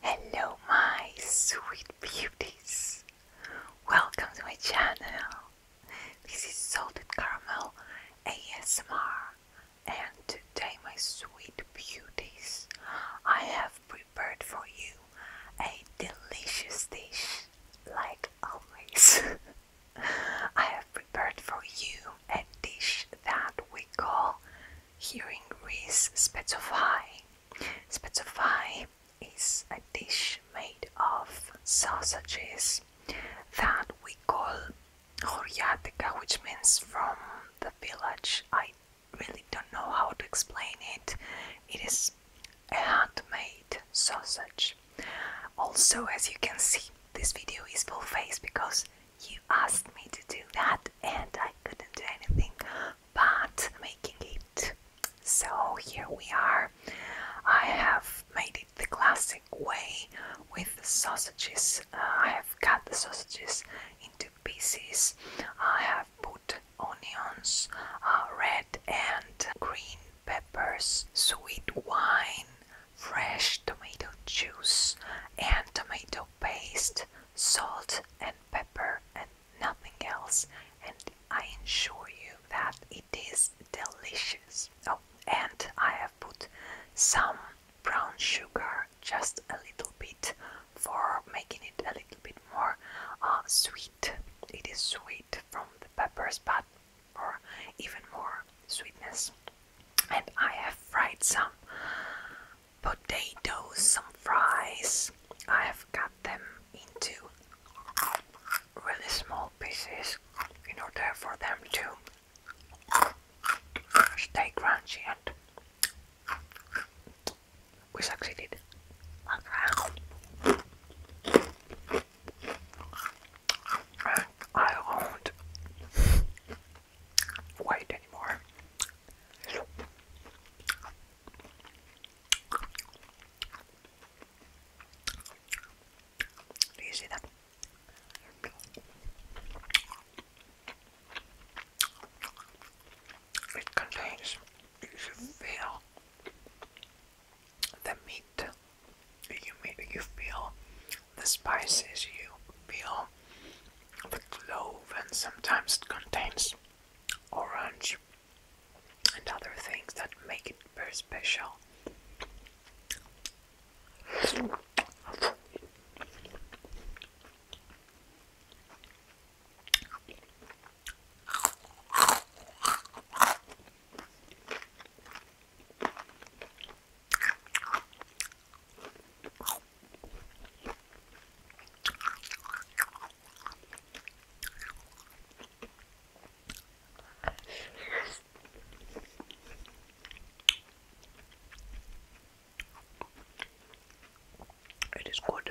Hello, my sweet beauties! Welcome to my channel. This is Salted Caramel ASMR, and today, my sweet beauties, I have prepared for you a delicious dish, like always. I have prepared for you a dish that we call here in Greece spetsofai. is a dish made of sausages that we call Horiatica, which means from the village. I really don't know how to explain it. It is a handmade sausage. Also, as you can see, this video is full face because you asked me to do that and I couldn't do anything but making it. So here we are. I have made it the classic way with the sausages. Uh, I have cut the sausages into pieces. I have put onions, uh, red and green peppers, sweet wine, fresh tomato juice and tomato paste, salt and pepper, and nothing else. And I assure you that it is delicious. Oh, and I have put some brown sugar just a little bit for making it a little bit more uh, sweet. It is sweet from the peppers, but or even more sweetness. And I have fried some potatoes, some fries. I have cut them into really small pieces in order for them to stay crunchy and we succeeded. I won't wait anymore. Do you see that? It contains, the meat you feel the spices, you feel the clove, and sometimes it contains orange and other things that make it very special. It is good.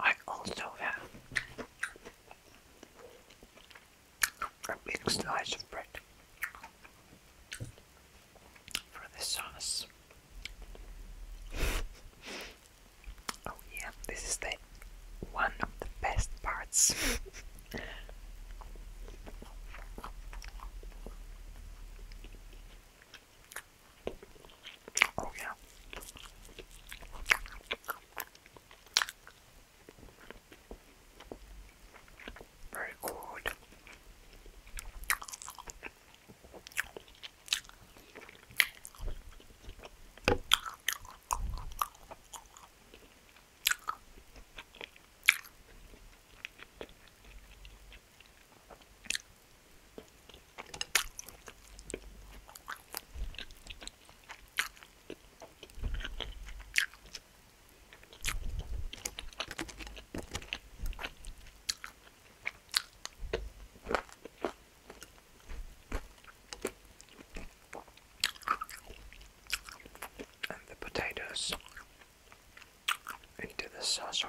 I also have a big slice of bread for the sauce. oh yeah, this is the one of the best parts. Oh, yeah. Very good and the potatoes into the saucepan.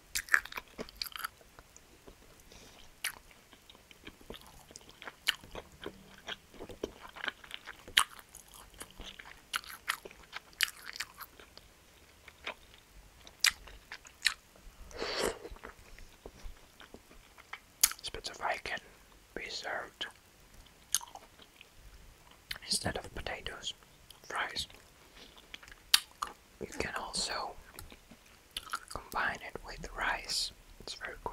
Spitzenweig can be served instead of potatoes, fries, you can also combine it with rice. It's very good.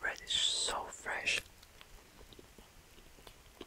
Bread is so fresh.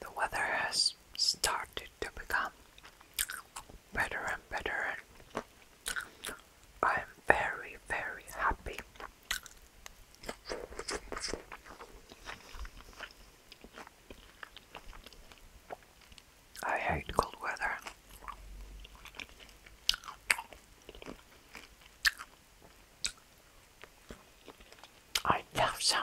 The weather has started to become better and better, I am very, very happy. I hate cold weather. I love summer.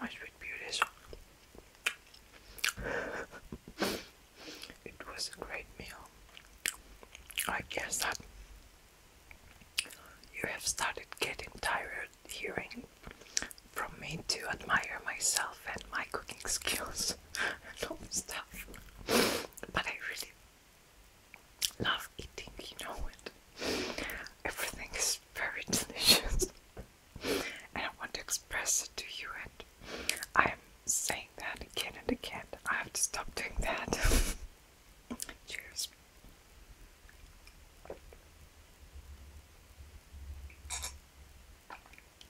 My sweet beauties. it was a great meal. I guess that you have started getting tired hearing from me to admire myself and my cooking skills and all stuff. But I really love eating, you know, it. everything is very delicious. and I want to express it to you, and I'm saying that again and again. I have to stop doing that. Cheers.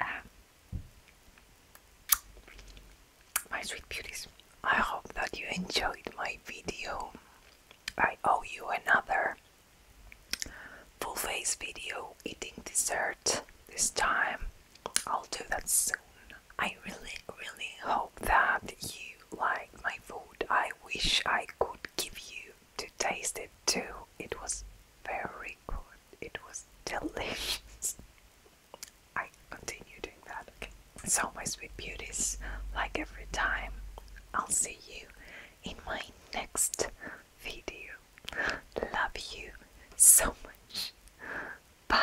Ah. My sweet beauties, I hope that you enjoyed my video. I owe you another full face video eating dessert this time. I'll do that soon. I really, really hope that you like my food. I wish I could give you to taste it too. It was very good. It was delicious. I continue doing that. Okay. So my sweet beauties, like every time, I'll see you in my next video. Love you so much. Bye.